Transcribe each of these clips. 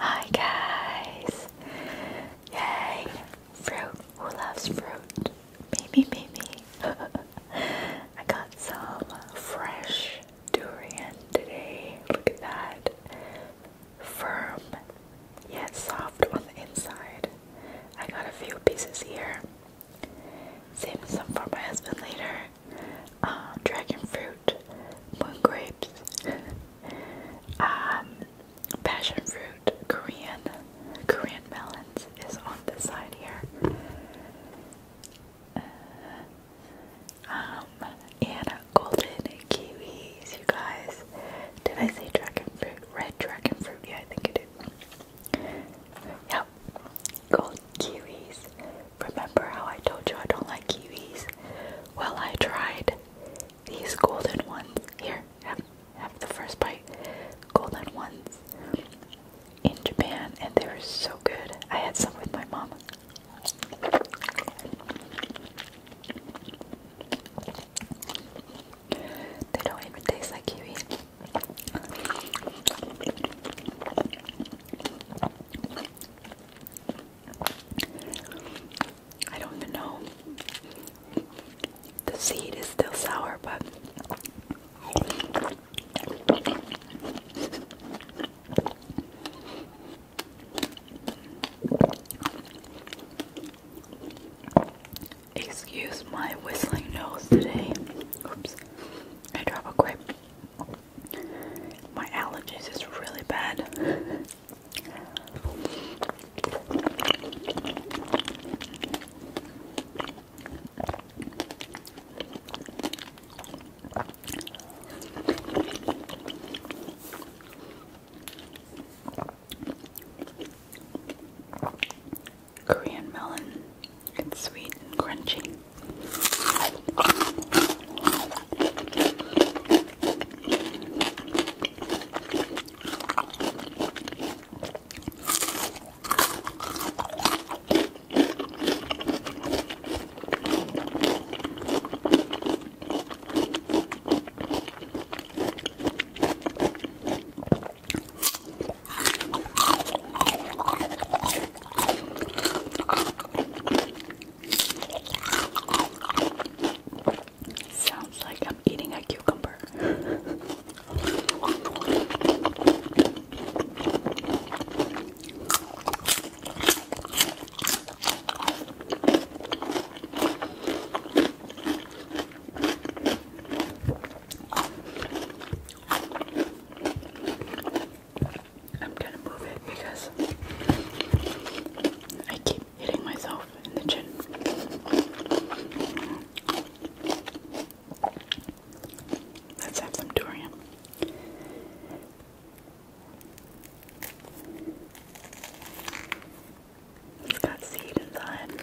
Hi guys! Yay! Fruit! Who loves fruit? Baby, baby! I got some fresh durian today. Look at that. Firm yet soft on the inside. I got a few pieces here. Save some for my husband later. Um, dragon fruit, moon grapes, um, passion fruit, Korean, Korean melons is on the side here. Uh, um, and golden kiwis, you guys. Did I say dragon fruit? Red dragon fruit? Yeah, I think I did. Yep. Gold kiwis. Remember how I told you I don't like kiwis? Well, I tried these golden ones. Here, have the first bite. Golden ones in Japan, and they were so good. I had some with my mom. They don't even taste like kiwi. I don't even know. The seed is still sour, but Excuse my whistling nose today. Oops. I drop a grape. My allergies is really bad. Korean melon. It's sweet and crunchy. Sounds like I'm eating a cucumber. I'm gonna move it because I keep hitting myself in the chin. Let's have some durian. It's got seed inside.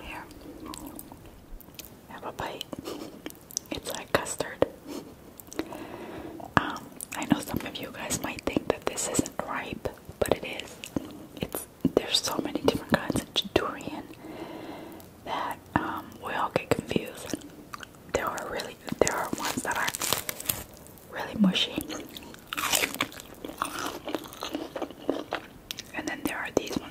Here. Have a bite. It's like custard. Um, I know some of you guys might think that this isn't ripe, but it is. It's there's so many different kinds of durian that um, we all get confused. There are really there are ones that are really mushy. And then there are these ones.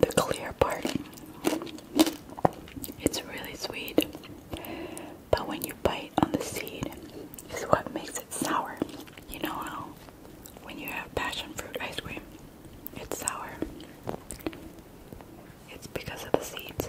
The clear part. It's really sweet. But when you bite on the seed is what makes it sour. You know how when you have passion fruit ice cream, it's sour. It's because of the seeds.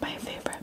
My favorite.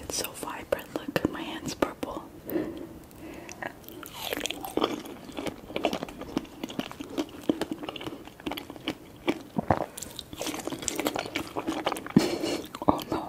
It's so vibrant. Look, my hand's purple. oh no.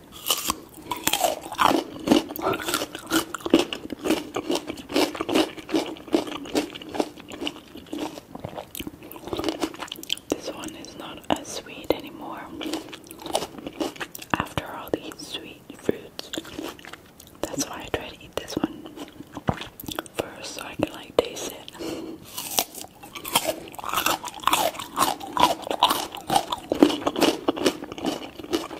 This one is not as sweet anymore. After all these sweet fruits, that's why I try to eat this one first so I can like taste it.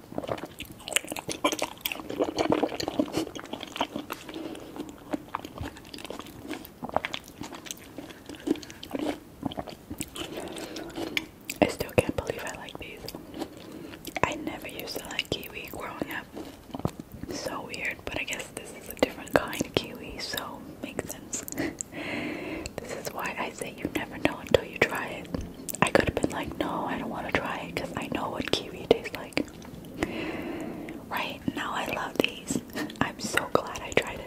I still can't believe I like these. I never used to like kiwi growing up. so weird, but I guess this is a different kind of kiwi, so makes sense. this is why I say you never know until you try it. I could have been like, no, I don't want to try it because I know what kiwi tastes like. Right now, I love these. I'm so glad I tried it.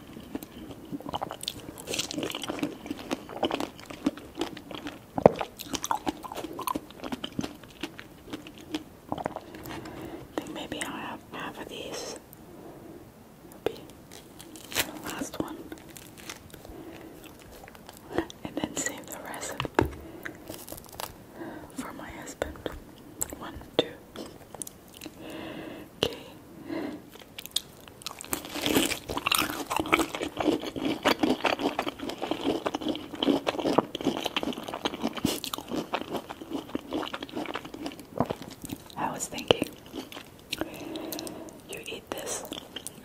think maybe I'll have half of these. Be the last one. And then save the rest for my husband. One, two. Okay. I was thinking, you eat this,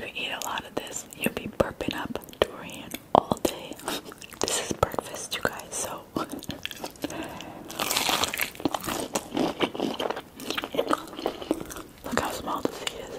you eat a lot of this, you'll be burping up durian all day. This is breakfast, you guys, so. Look how small the seed is.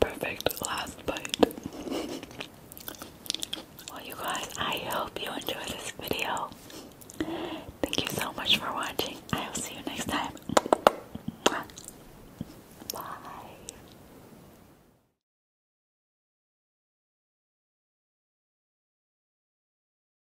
Perfect last bite. Well, you guys, I hope you enjoyed this video. Thank you so much for watching. I will see you next time. Bye.